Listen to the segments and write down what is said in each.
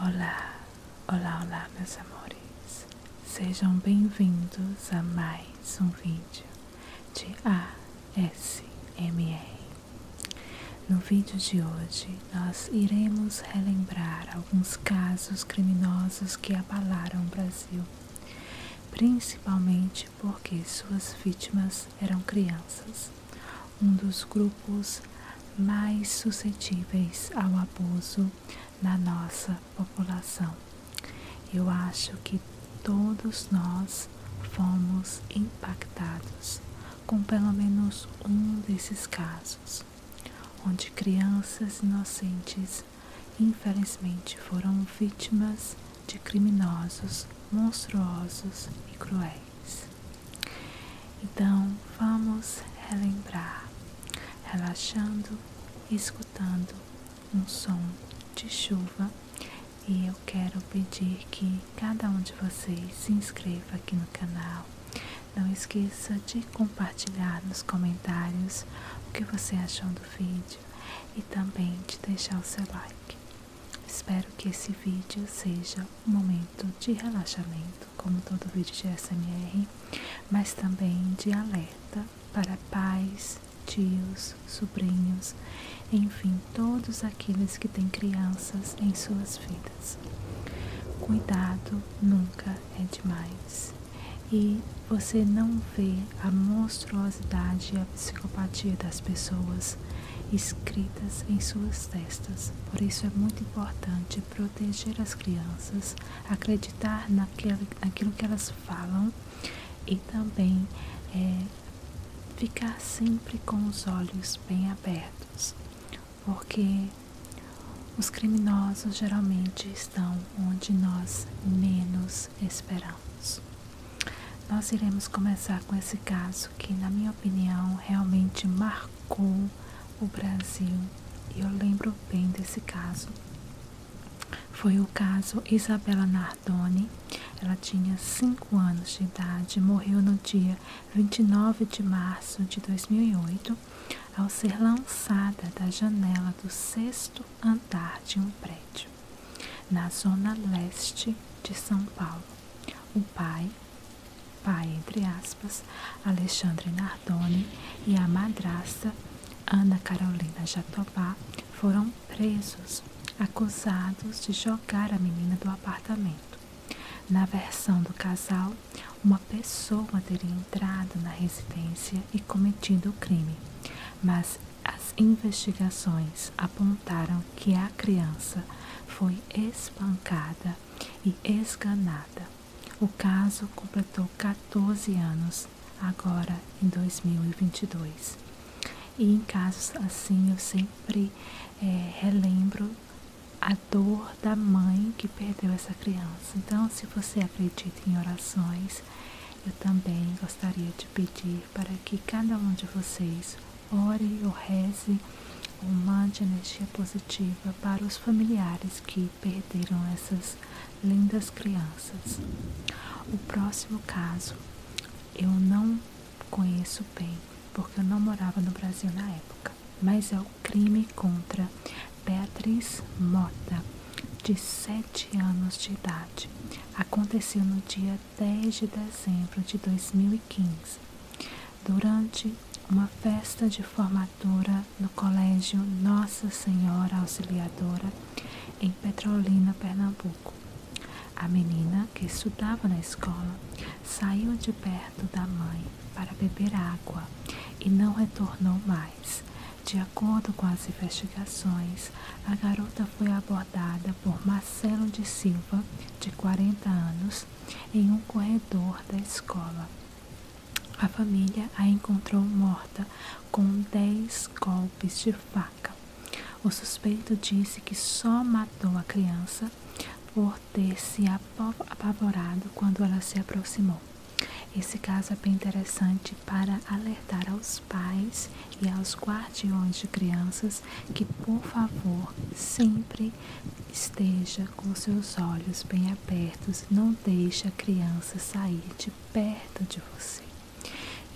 Olá, olá, olá, meus amores. Sejam bem-vindos a mais um vídeo de ASMR. No vídeo de hoje, nós iremos relembrar alguns casos criminosos que abalaram o Brasil, principalmente porque suas vítimas eram crianças um dos grupos mais suscetíveis ao abuso na nossa população. Eu acho que todos nós fomos impactados com pelo menos um desses casos, onde crianças inocentes infelizmente foram vítimas de criminosos monstruosos e cruéis. Então vamos relembrar, relaxando, escutando um som de chuva. E eu quero pedir que cada um de vocês se inscreva aqui no canal. Não esqueça de compartilhar nos comentários o que você achou do vídeo e também de deixar o seu like. Espero que esse vídeo seja um momento de relaxamento como todo vídeo de SMR, mas também de alerta para pais, tios, sobrinhos, enfim, todos aqueles que têm crianças em suas vidas. Cuidado nunca é demais. E você não vê a monstruosidade e a psicopatia das pessoas escritas em suas testas. Por isso é muito importante proteger as crianças, acreditar naquilo, que elas falam e também é, ficar sempre com os olhos bem abertos, porque os criminosos geralmente estão onde nós menos esperamos. Nós iremos começar com esse caso que, na minha opinião, realmente marca com o Brasil. E eu lembro bem desse caso. Foi o caso Isabela Nardoni. Ela tinha 5 anos de idade, morreu no dia 29 de março de 2008 ao ser lançada da janela do sexto andar de um prédio, na zona leste de São Paulo. O pai, pai, entre aspas, Alexandre Nardoni e a madrasta Ana Carolina Jatobá foram presos, acusados de jogar a menina do apartamento. Na versão do casal, uma pessoa teria entrado na residência e cometido o crime, mas as investigações apontaram que a criança foi espancada e esganada. O caso completou 14 anos, agora em 2022. E em casos assim eu sempre é, relembro a dor da mãe que perdeu essa criança. Então, se você acredita em orações, eu também gostaria de pedir para que cada um de vocês ore ou reze ou mande energia positiva para os familiares que perderam essas lindas crianças. O próximo caso eu não conheço bem, porque eu não morava no Brasil na época, mas é o crime contra Beatriz Mota, de 7 anos de idade. Aconteceu no dia 10 de dezembro de 2015 durante uma festa de formatura no Colégio Nossa Senhora Auxiliadora em Petrolina, Pernambuco. A menina, que estudava na escola, saiu de perto da mãe para beber água e não retornou mais. De acordo com as investigações, a garota foi abordada por Marcelo de Silva, de 40 anos, em um corredor da escola. A família a encontrou morta com dez golpes de faca. O suspeito disse que só matou a criança por ter se apavorado quando ela se aproximou. Esse caso é bem interessante para alertar aos pais e aos guardiões de crianças que, por favor, sempre esteja com seus olhos bem abertos, não deixe a criança sair de perto de você.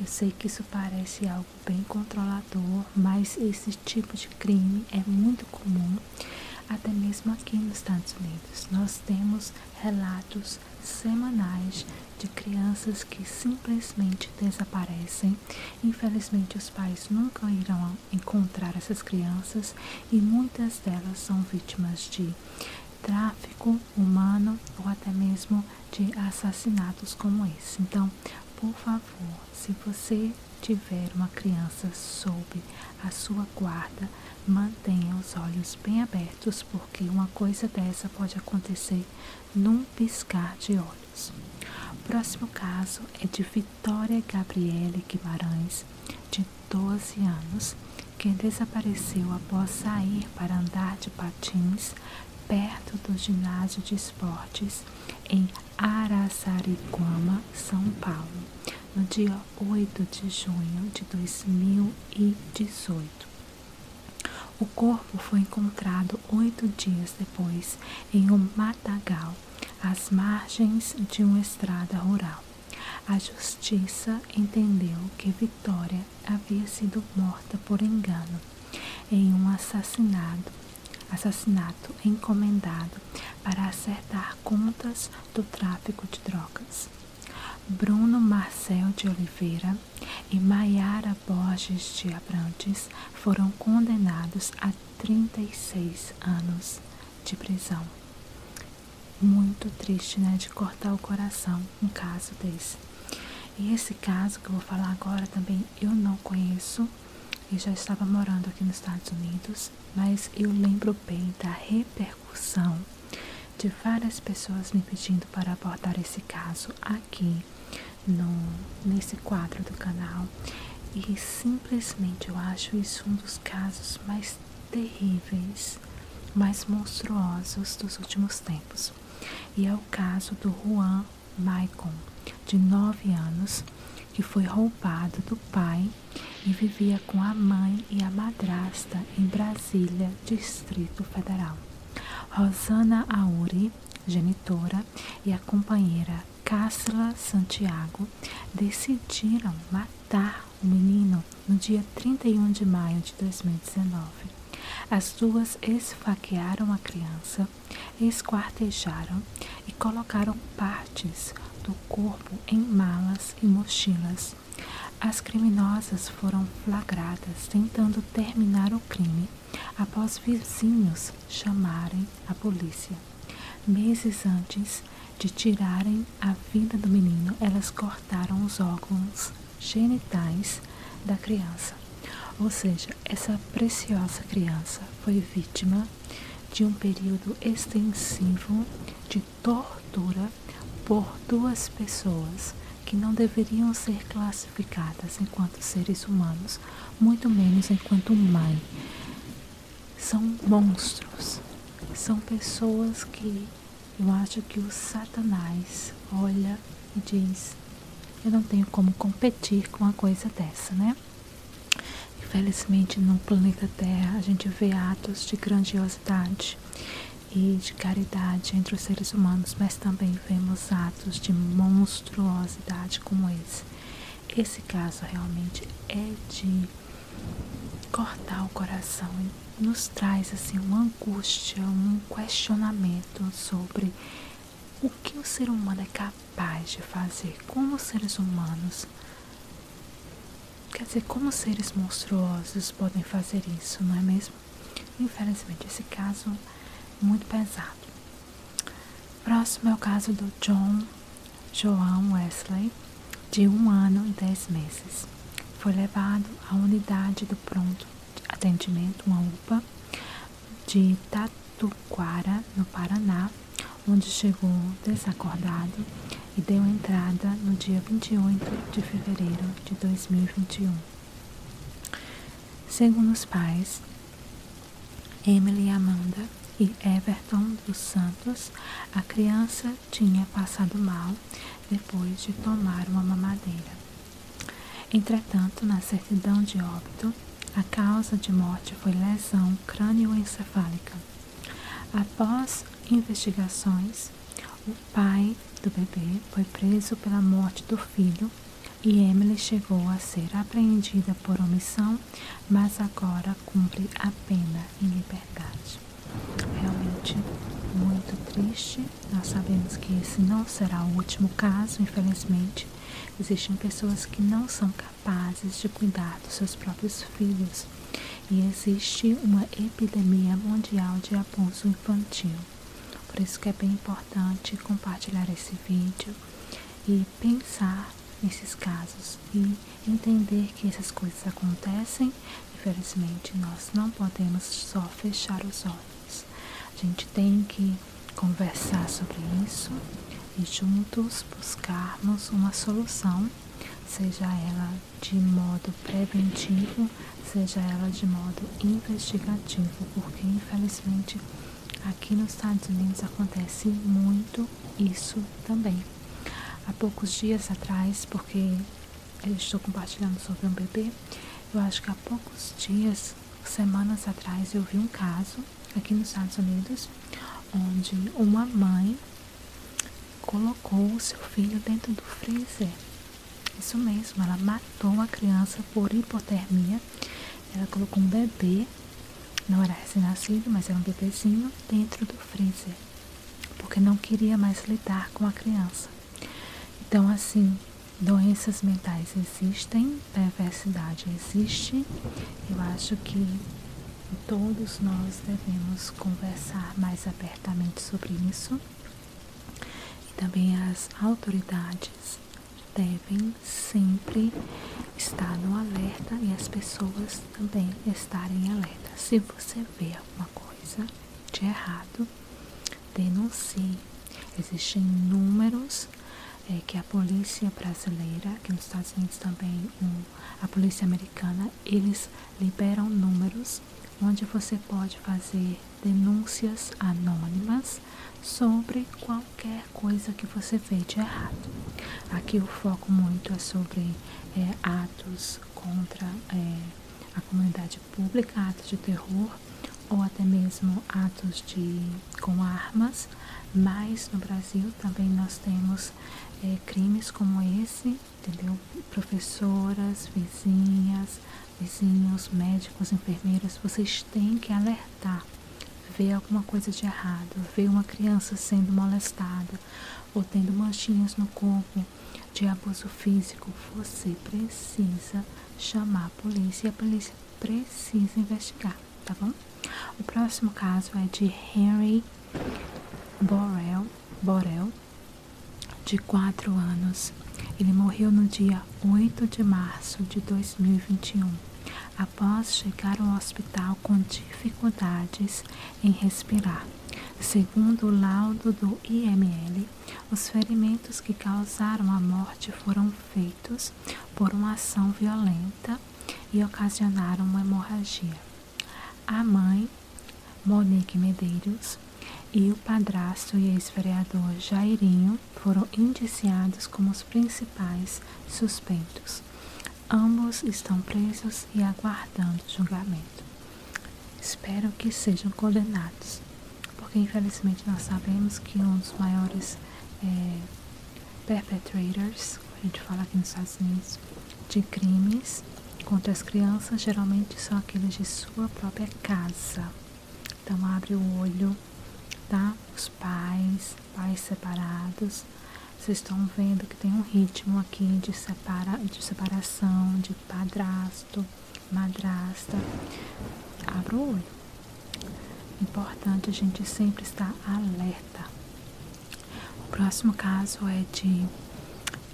Eu sei que isso parece algo bem controlador, mas esse tipo de crime é muito comum, até mesmo aqui nos Estados Unidos. Nós temos relatos semanais de crianças que simplesmente desaparecem Infelizmente, os pais nunca irão encontrar essas crianças e muitas delas são vítimas de tráfico humano ou até mesmo de assassinatos como esse. Então, por favor, se você tiver uma criança sob a sua guarda, mantenha os olhos bem abertos, porque uma coisa dessa pode acontecer num piscar de olhos. O próximo caso é de Vitória Gabriele Guimarães, de 12 anos, que desapareceu após sair para andar de patins perto do ginásio de esportes em Araçariguama, São Paulo, no dia 8 de junho de 2018. O corpo foi encontrado oito dias depois em um matagal as margens de uma estrada rural. A justiça entendeu que Vitória havia sido morta por engano em um assassinato, assassinato encomendado para acertar contas do tráfico de drogas. Bruno Marcel de Oliveira e Maiara Borges de Abrantes foram condenados a 36 anos de prisão. Muito triste, né? De cortar o coração um caso desse. E esse caso que eu vou falar agora também eu não conheço. Eu já estava morando aqui nos Estados Unidos, mas eu lembro bem da repercussão de várias pessoas me pedindo para abordar esse caso aqui no, nesse quadro do canal e simplesmente eu acho isso um dos casos mais terríveis, mais monstruosos dos últimos tempos. E é o caso do Juan Maicon, de nove anos, que foi roubado do pai e vivia com a mãe e a madrasta em Brasília, Distrito Federal. Rosana Auri, genitora, e a companheira Cássila Santiago decidiram matar o menino no dia 31 de maio de 2019. As duas esfaquearam a criança, esquartejaram e colocaram partes do corpo em malas e mochilas. As criminosas foram flagradas tentando terminar o crime após vizinhos chamarem a polícia. Meses antes de tirarem a vida do menino, elas cortaram os órgãos genitais da criança. Ou seja, essa preciosa criança foi vítima de um período extensivo de tortura por duas pessoas que não deveriam ser classificadas enquanto seres humanos, muito menos enquanto mãe. São monstros, são pessoas que eu acho que o Satanás olha e diz: Eu não tenho como competir com uma coisa dessa, né? Infelizmente, no planeta Terra, a gente vê atos de grandiosidade e de caridade entre os seres humanos, mas também vemos atos de monstruosidade como esse. Esse caso realmente é de cortar o coração e nos traz assim uma angústia, um questionamento sobre o que o ser humano é capaz de fazer como seres humanos. Quer dizer, como seres monstruosos podem fazer isso, não é mesmo? Infelizmente, esse caso é muito pesado. Próximo é o caso do John João Wesley, de um ano e dez meses. Foi levado à unidade do pronto atendimento, uma UPA, de Tatuquara, no Paraná, onde chegou desacordado e deu entrada no dia 28 de fevereiro de 2021. Segundo os pais, Emily Amanda e Everton dos Santos, a criança tinha passado mal depois de tomar uma mamadeira. Entretanto, na certidão de óbito, a causa de morte foi lesão crânioencefálica. Após investigações, o pai do bebê foi preso pela morte do filho e Emily chegou a ser apreendida por omissão, mas agora cumpre a pena em liberdade. Realmente muito triste. Nós sabemos que esse não será o último caso, infelizmente. Existem pessoas que não são capazes de cuidar dos seus próprios filhos e existe uma epidemia mundial de abuso infantil. Por isso que é bem importante compartilhar esse vídeo e pensar nesses casos e entender que essas coisas acontecem. Infelizmente, nós não podemos só fechar os olhos. A gente tem que conversar sobre isso e juntos buscarmos uma solução, seja ela de modo preventivo, seja ela de modo investigativo, porque infelizmente Aqui nos Estados Unidos acontece muito isso também. Há poucos dias atrás, porque eu estou compartilhando sobre um bebê, eu acho que há poucos dias, semanas atrás, eu vi um caso aqui nos Estados Unidos onde uma mãe colocou o seu filho dentro do freezer. Isso mesmo, ela matou a criança por hipotermia ela colocou um bebê, não era recém-nascido, mas era um bebezinho, dentro do freezer, porque não queria mais lidar com a criança. Então, assim, doenças mentais existem, perversidade existe. Eu acho que todos nós devemos conversar mais abertamente sobre isso. E também as autoridades devem sempre estar no alerta e as pessoas também estarem alerta. Se você vê alguma coisa de errado, denuncie. Existem números é, que a polícia brasileira, que nos Estados Unidos também a polícia americana, eles liberam números onde você pode fazer denúncias anônimas sobre qualquer coisa que você fez de errado. Aqui o foco muito é sobre é, atos contra é, a comunidade pública, atos de terror ou até mesmo atos de, com armas, mas no Brasil também nós temos é, crimes como esse, entendeu? Professoras, vizinhas, vizinhos, médicos, enfermeiras, vocês têm que alertar. ver alguma coisa de errado, ver uma criança sendo molestada ou tendo manchinhas no corpo de abuso físico, você precisa chamar a polícia e a polícia precisa investigar, tá bom? O próximo caso é de Henry Borel, Borel de 4 anos ele morreu no dia 8 de março de 2021, após chegar ao hospital com dificuldades em respirar. Segundo o laudo do IML, os ferimentos que causaram a morte foram feitos por uma ação violenta e ocasionaram uma hemorragia. A mãe, Monique Medeiros, e o padrasto e ex-vereador Jairinho Sullivan foram indiciados como os principais suspeitos. Ambos estão presos e aguardando julgamento. Espero que sejam condenados, porque infelizmente nós sabemos que um dos maiores é, como a gente fala aqui nos Estados Unidos, de crimes contra as crianças geralmente são aqueles de sua própria casa. Então abre o olho, tá? Os pais, pais separados. Vocês estão vendo que tem um ritmo aqui de, separa, de separação, de padrasto, madrasta. Abra o olho. Importante a gente sempre estar alerta. O próximo caso é de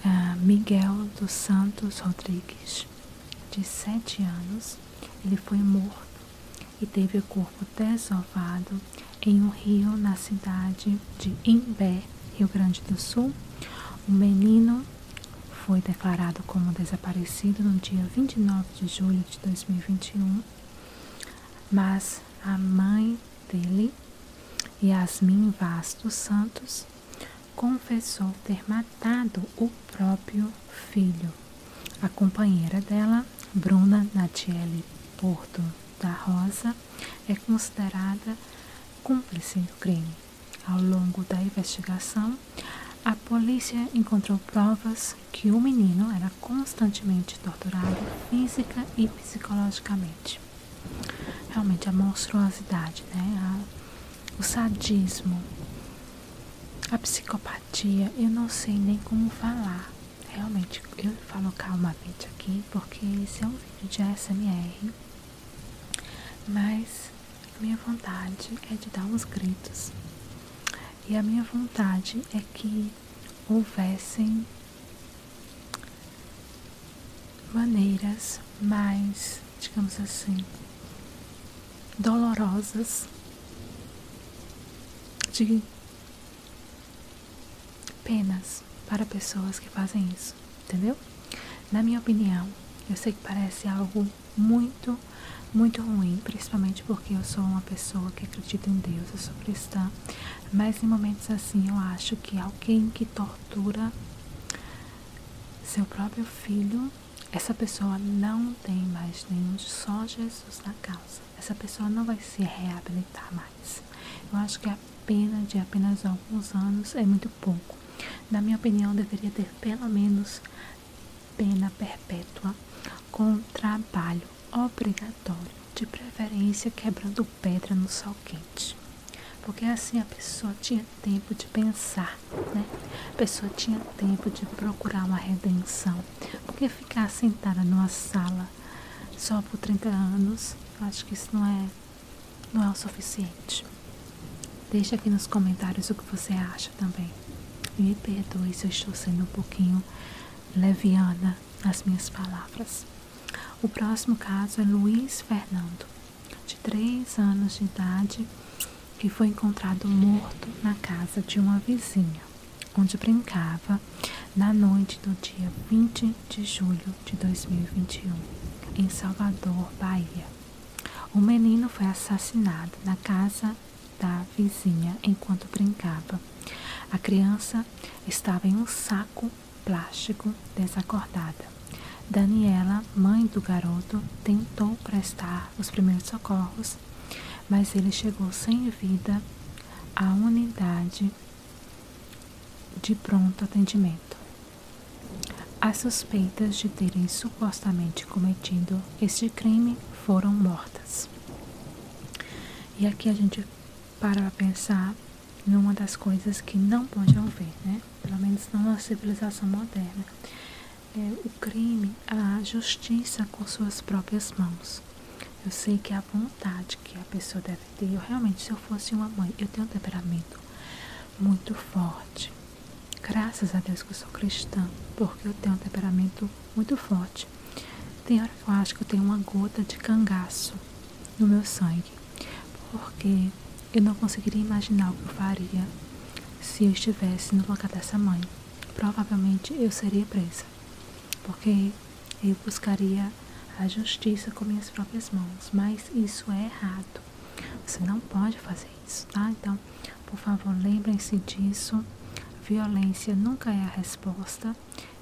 eh, Miguel dos Santos Rodrigues de sete anos, ele foi morto e teve o corpo desovado em um rio na cidade de Imbé, Rio Grande do Sul. O menino foi declarado como desaparecido no dia 29 de julho de 2021, mas a mãe dele, Yasmin Vaz dos Santos, confessou ter matado o próprio filho. A companheira dela, Bruna Natiele Porto da Rosa, é considerada cúmplice do crime. Ao longo da investigação, a polícia encontrou provas que o menino era constantemente torturado física e psicologicamente. Realmente a monstruosidade, né? o sadismo a psicopatia, eu não sei nem como falar. Realmente, eu falo calmamente aqui porque esse é um vídeo de ASMR. Mas a minha vontade é de dar uns gritos. E a minha vontade é que houvessem maneiras mais digamos assim, dolorosas de penas para pessoas que fazem isso, entendeu? Na minha opinião, eu sei que parece algo muito, muito ruim, principalmente porque eu sou uma pessoa que acredita em Deus, eu sou cristã, mas em momentos assim eu acho que alguém que tortura seu próprio filho essa pessoa não tem mais nenhum, só Jesus na casa Essa pessoa não vai se reabilitar mais. Eu acho que a pena de apenas alguns anos é muito pouco. Na minha opinião, deveria ter pelo menos pena perpétua com trabalho obrigatório, de preferência quebrando pedra no sol quente. Porque assim a pessoa tinha tempo de pensar, né? A pessoa tinha tempo de procurar uma redenção. Porque ficar sentada numa sala só por 30 anos, acho que isso não é, não é o suficiente. Deixa aqui nos comentários o que você acha também. E me perdoe se eu estou sendo um pouquinho leviana nas minhas palavras. O próximo caso é Luiz Fernando de três anos de idade que foi encontrado morto na casa de uma vizinha, onde brincava na noite do dia 20 de julho de 2021, em Salvador, Bahia. O menino foi assassinado na casa da vizinha enquanto brincava. A criança estava em um saco plástico desacordada. Daniela, mãe do garoto, tentou prestar os primeiros socorros, mas ele chegou sem vida à unidade de pronto atendimento. As suspeitas de terem supostamente cometido este crime foram mortas. E aqui a gente para pra pensar numa das coisas que não pode haver, né? Pelo menos não na civilização moderna é, o crime, a justiça com suas próprias mãos. Eu sei que é a vontade que a pessoa deve ter, eu realmente, se eu fosse uma mãe, eu tenho um temperamento muito forte. Graças a Deus que eu sou cristã, porque eu tenho um temperamento muito forte. Tem hora que eu acho que eu tenho uma gota de cangaço no meu sangue, porque eu não conseguiria imaginar o que eu faria se eu estivesse no lugar dessa mãe. Provavelmente eu seria presa, porque eu buscaria a justiça com minhas próprias mãos, mas isso é errado. Você não pode fazer isso, tá? Então, por favor, lembrem-se disso. Violência nunca é a resposta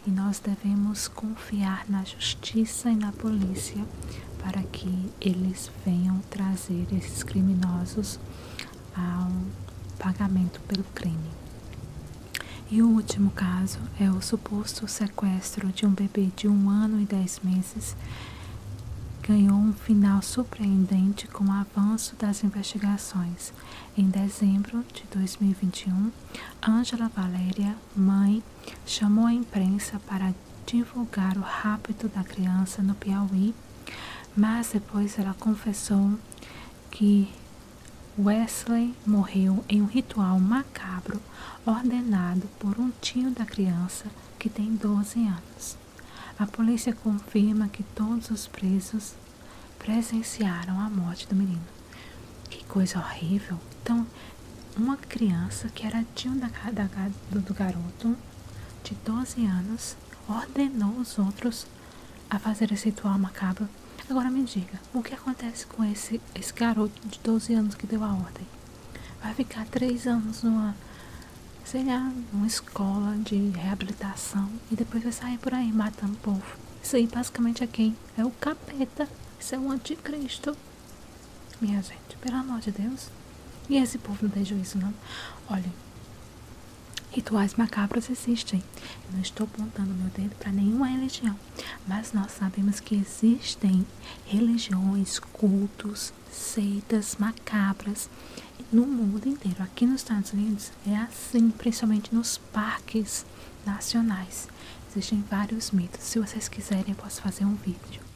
e nós devemos confiar na justiça e na polícia para que eles venham trazer esses criminosos ao pagamento pelo crime. E o último caso é o suposto sequestro de um bebê de um ano e dez meses. Ganhou um final surpreendente com o avanço das investigações. Em dezembro de 2021, Angela Valéria, mãe, chamou a imprensa para divulgar o rapto da criança no Piauí, mas depois ela confessou que Wesley morreu em um ritual macabro ordenado por um tio da criança que tem 12 anos. A polícia confirma que todos os presos presenciaram a morte do menino. Que coisa horrível! Então, uma criança que era tio da, do garoto de 12 anos, ordenou os outros a fazer esse ritual macabro. Agora me diga, o que acontece com esse, esse garoto de 12 anos que deu a ordem? Vai ficar três anos numa, sei lá, numa escola de reabilitação e depois vai sair por aí matando o povo. Isso aí basicamente é quem? É o capeta. Isso é o anticristo. Minha gente gente. Pelo amor de Deus. E esse povo não deixa isso, não. Olha, rituais macabros existem. não estou apontando meu dedo para nenhuma religião. Mas nós sabemos que existem religiões, cultos, seitas macabras no mundo inteiro. Aqui nos Estados Unidos é assim, principalmente nos parques nacionais. Existem vários mitos. Se vocês quiserem, eu posso fazer um vídeo.